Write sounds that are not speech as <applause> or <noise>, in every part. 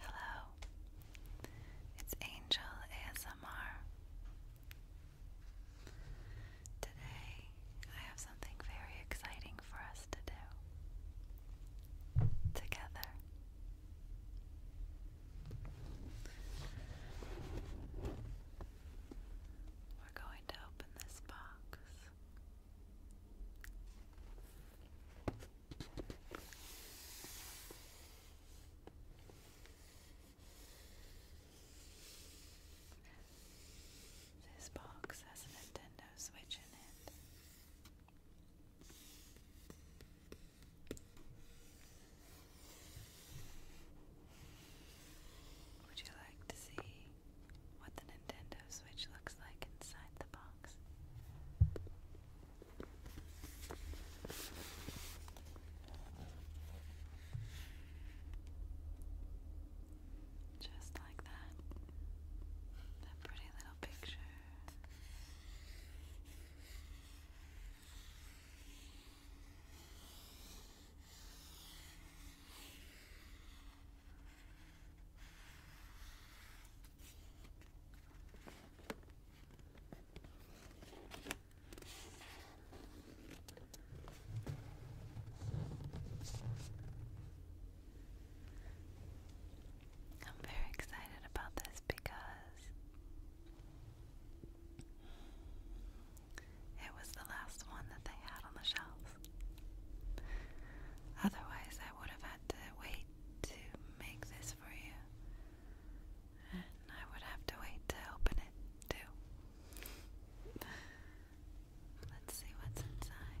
Hello, it's Angel ASMR. Today I have something very exciting for us to do together. We're going to open this box. This box has a Nintendo Switch in it. Would you like to see what the Nintendo Switch looks like inside the box? songs. Just like that. That pretty little picture. I'm very excited about this because it was the last one that they had on the shelves. Otherwise, I would have had to wait to make this for you. And I would have to wait to open it too. Let's see what's inside.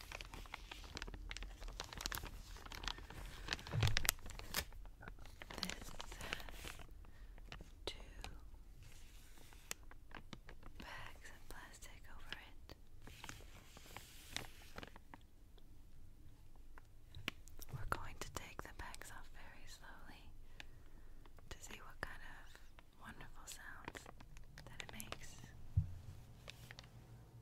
has two bags of plastic over it. We're going to take the bags off very slowly to see what kind of wonderful sounds that it makes.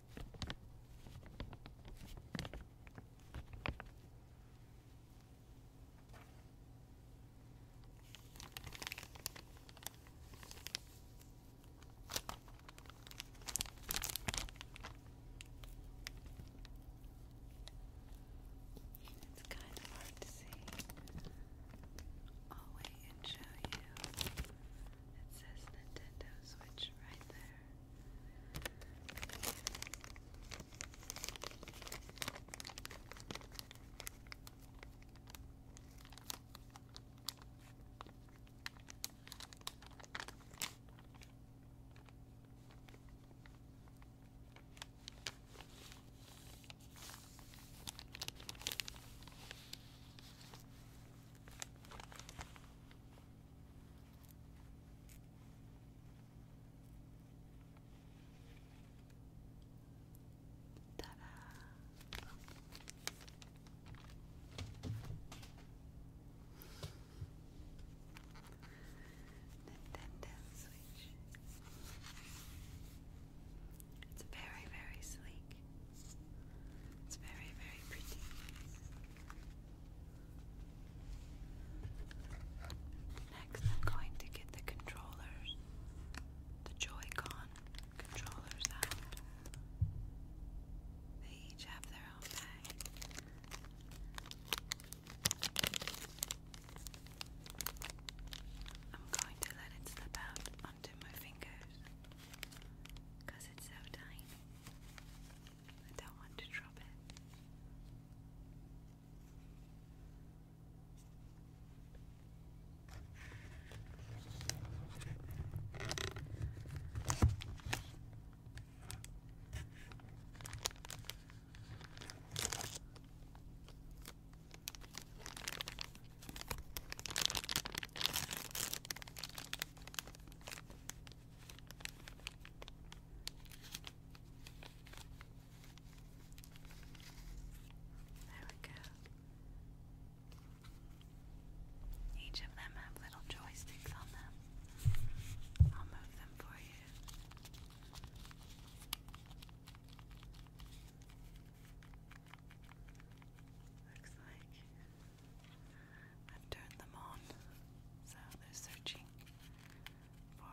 It's kind of hard to see. I'll wait and show you it says Nintendo Switch right there. Ta-da! Nintendo Switch. It's very, very sleek. It's very, very pretty. Next, I'm going to get the controllers, the Joy-Con controllers out. They each have their own bag. I'm going to let it slip out onto my fingers because because it's so tiny. I don't want to drop it. There we go. Each of them have little joysticks on them. I'll move them for you. Looks like I've them on, so they're searching for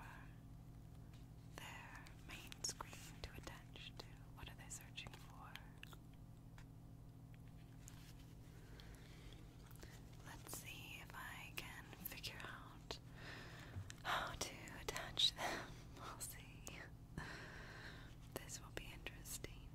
their main screen to attach to. What are they searching for? Let's see if I can figure out how to attach them. <laughs> We'll see. This will be interesting.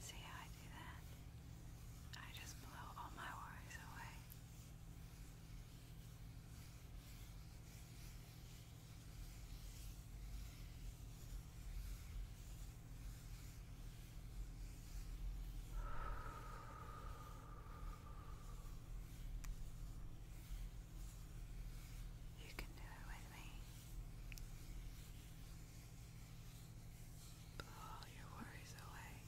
See how I do that? I just blow all my worries away. You can do it with me. Blow all your worries away.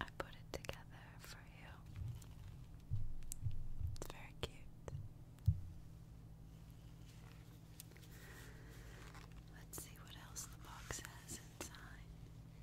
I put it together for you. It's very cute. Let's see what else the box has inside.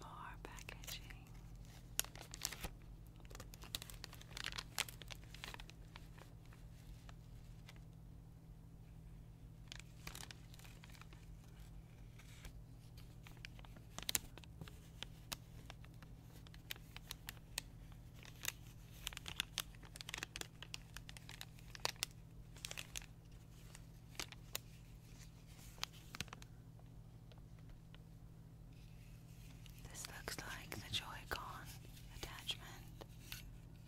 More packaging. This looks like the Joy-Con attachment.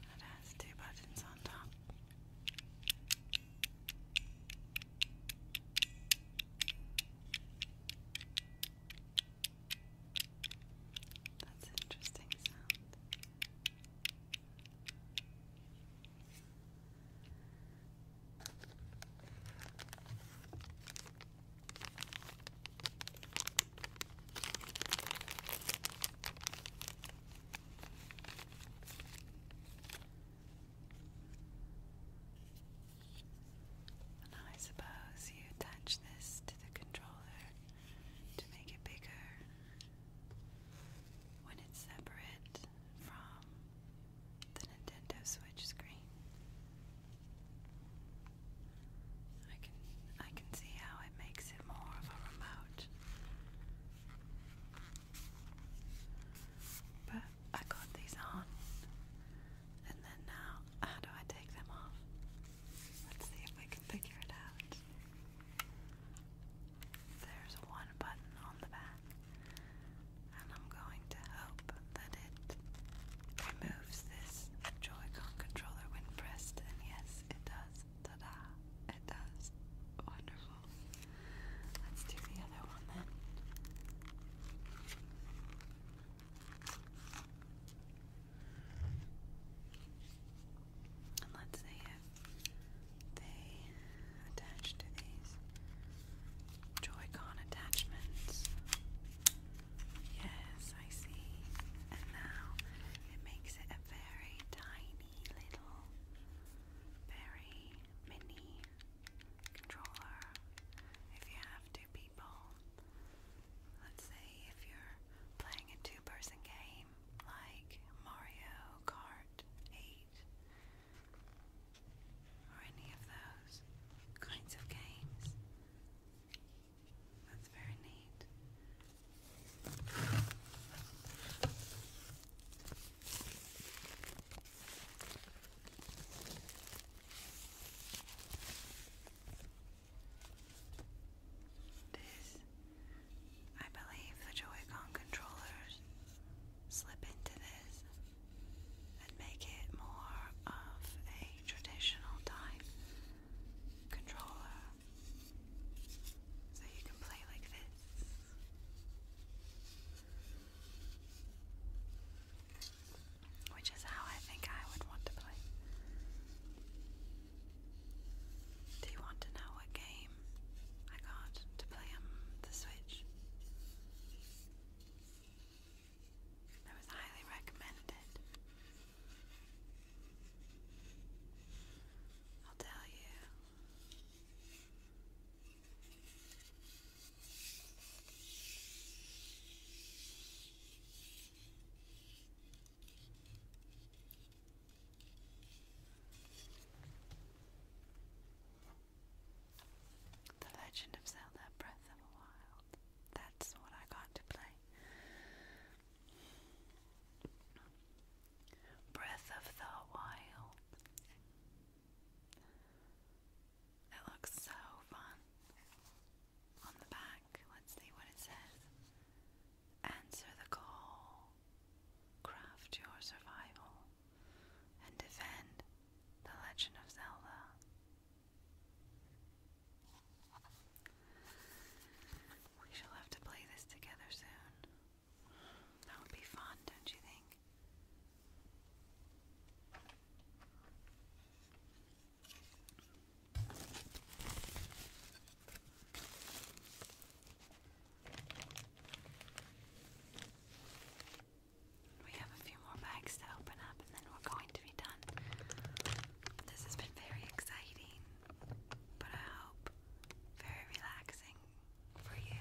It has two buttons on top. That's an interesting sound. I suppose you attach this to the controller to make it bigger when it's separate from the Nintendo Switch screen. I can I can see how it makes it more of a remote. But I got these on, and then now, how do I take them off? Let's see if we can figure it out. There's one button on the back, and I'm going to hope that it removes this joy controller when pressed, and yes, it does. Ta-da! It does. Wonderful. Let's do the other one then. And let's see if they attach to these Joy-Con attachments. Yes, I see. And now it makes it a very tiny little, very mini controller if you have two people. Let's say if you're playing a two person game like Mario Kart 8 or any of those kinds of games. That's very neat. This, I believe the Joy-Con controllers slip into this and make it more of a traditional type controller. So you can play like this. Which is how I think I would want to play. Do you want to know what game I got to play on the Switch? It was highly recommended. I'll tell you the Legend of Zelda Breath of the Wild. That's what I got to play. Breath of the Wild. It looks so fun. On the back, let's see what it says. Answer the call, craft your survival, and defend the Legend of Zelda. We shall have to play this together soon. That would be fun, don't you think? We have a few more bags to open up and then we're going to be done. This has been very exciting, but I hope very relaxing for you.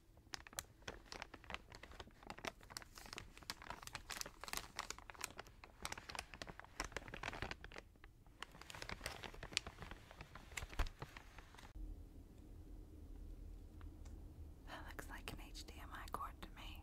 That looks like an HDMI cord to me.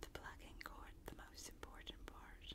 The plugging cord, the most important part.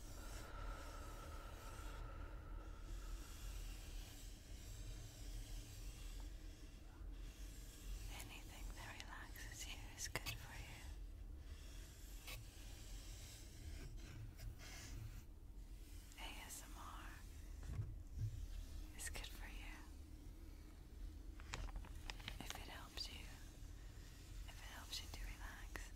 Anything that relaxes you is good for you. ASMR is good for you. If it helps you, if it helps you to relax,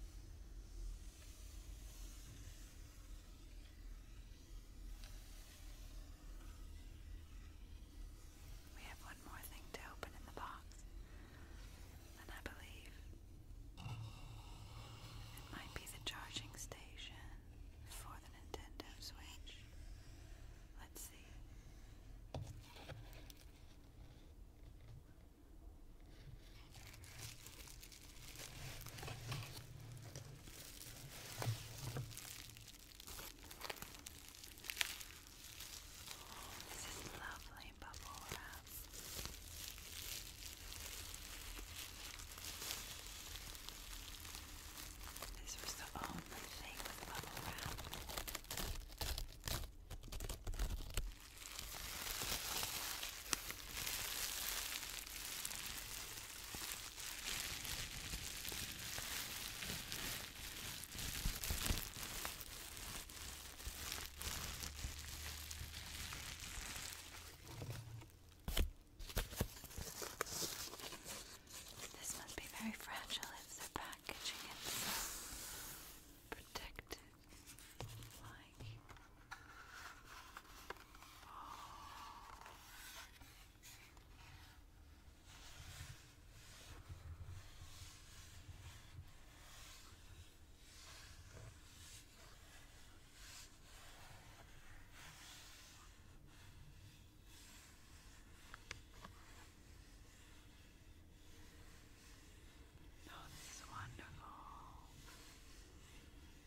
we have one more thing to open in the box, and I believe it might be the charging station for the Nintendo Switch. Let's see. This is lovely bubble wrap. This was the only thing with bubble wrap. This must be very fragile if they're packaging it so protected like Oh, this is wonderful.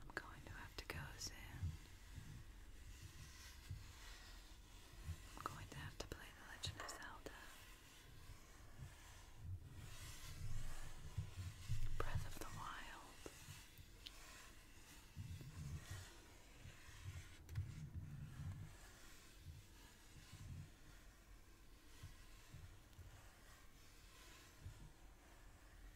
I'm going to have to go soon. I'm going to have to play The Legend of Zelda. Breath of the Wild.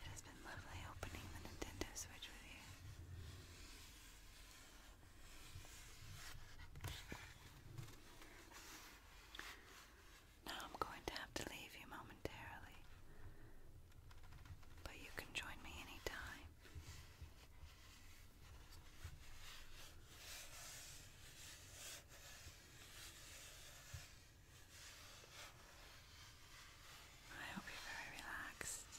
It has been lovely opening the Nintendo Switch with you. Now I'm going to have to leave you momentarily, but you can join me anytime. I hope you're very relaxed.